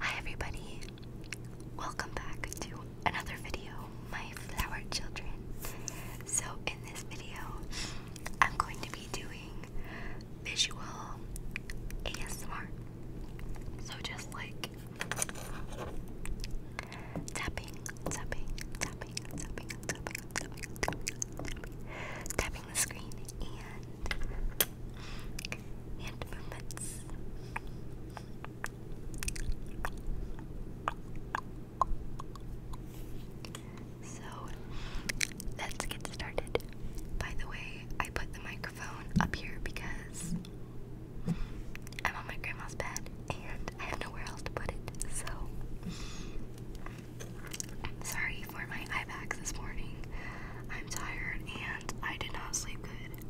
Hi everybody, welcome back to another video, my flower children. So in this video, I'm going to be doing visual ASMR. So just like tapping, tapping, tapping, tapping, tapping, tapping, tapping, tapping the screen and So let's get started. By the way, I put the microphone up here because I'm on my grandma's bed and I have nowhere else to put it. So Sorry for my eye bags this morning. I'm tired and I did not sleep good.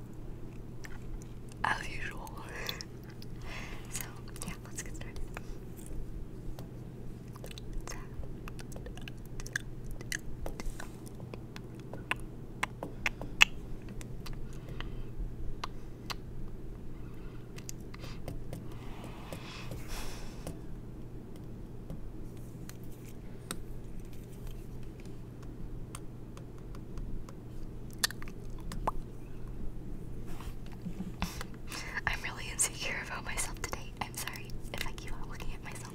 As usual. so, yeah, let's get started. I'm really insecure about myself today. I'm sorry if I keep on looking at myself.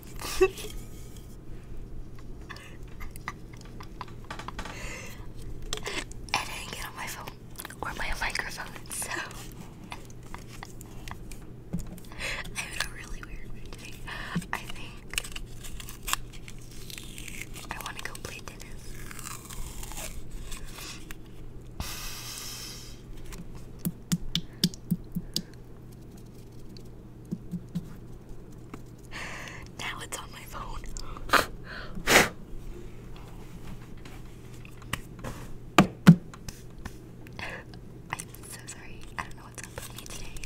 I didn't get on my phone or my microphone, so I'm in a really weird mood I think I want to go play tennis now it's on my phone. I'm so sorry. I don't know what's up with me today.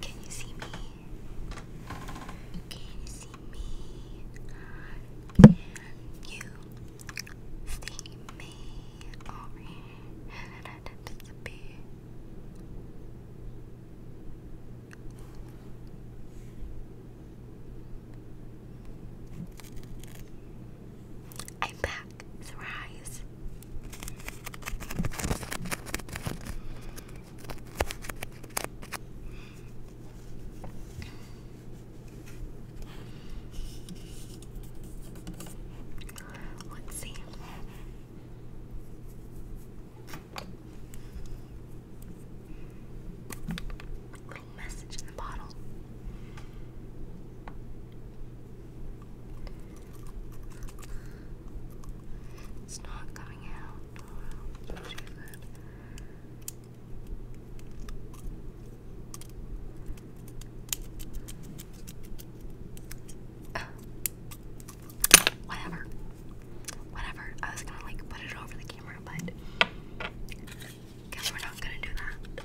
Can you see me? Can you see me? Can you see me? Or did I disappear? I'm back. Surprise. Let's see. Little message in the bottle. It's not coming out. Oh, whatever. Whatever. I was gonna like put it over the camera, but guess we're not gonna do that. but.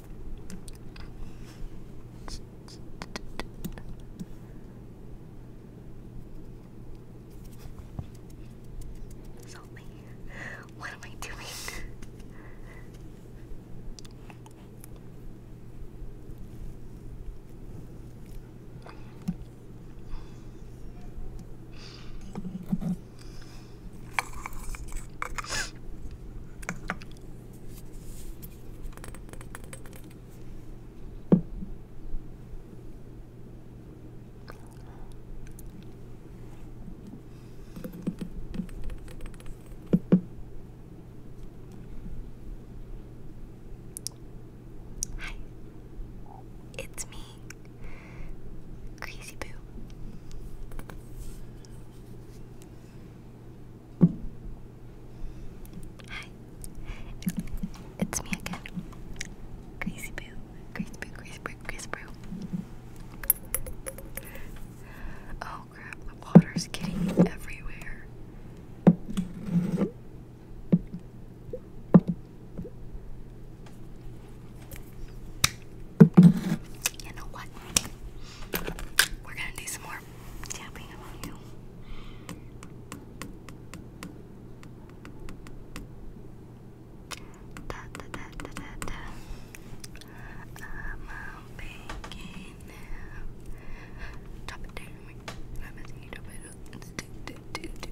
Salt me. What am I doing? Hi, it's me. Crazy Boo. Hi. It's me again. Crazy Boo. Crazy Boo, Crazy Boo, Crazy Boo. Oh crap, the water's getting everywhere. You know what? We're gonna do some more tapping on you. Da, da, da, da, da, I'm on baking now. Drop it down. I'm messing it up. Let's do, do, do,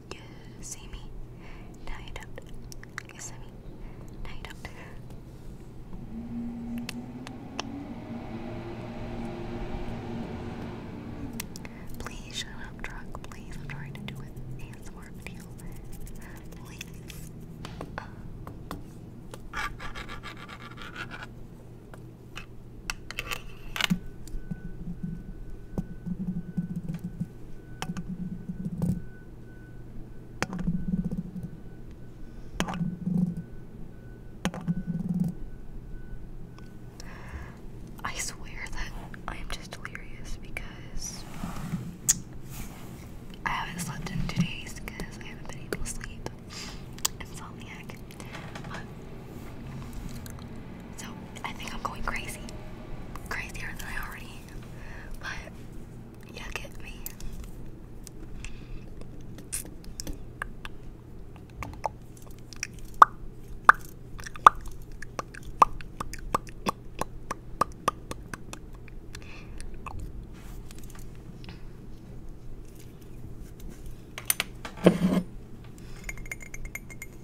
You see me? No, you don't. You see me? No, you don't. Please shut up, truck. Please, I'm trying to do an ASMR video. Please. Uh. I swear that I am just delirious because I haven't slept in two days because I haven't been able to sleep. Insomniac. So I think I'm going crazy. Crazier than I already But yeah, get me.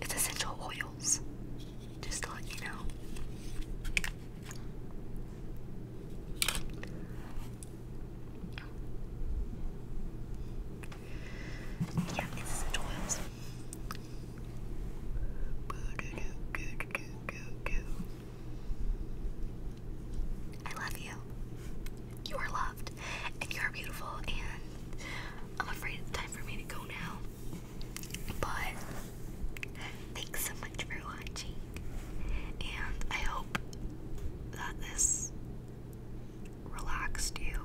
It's essential oils. Just to let you know. Yeah, it's essential oils. I love you. You are loved, and you are beautiful, and I'm afraid it's time for me to go now. But thanks so much for watching, and I hope that this relaxed you.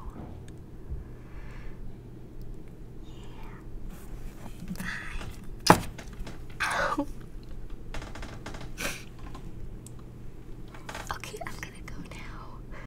Yeah. Bye. okay, I'm gonna go now.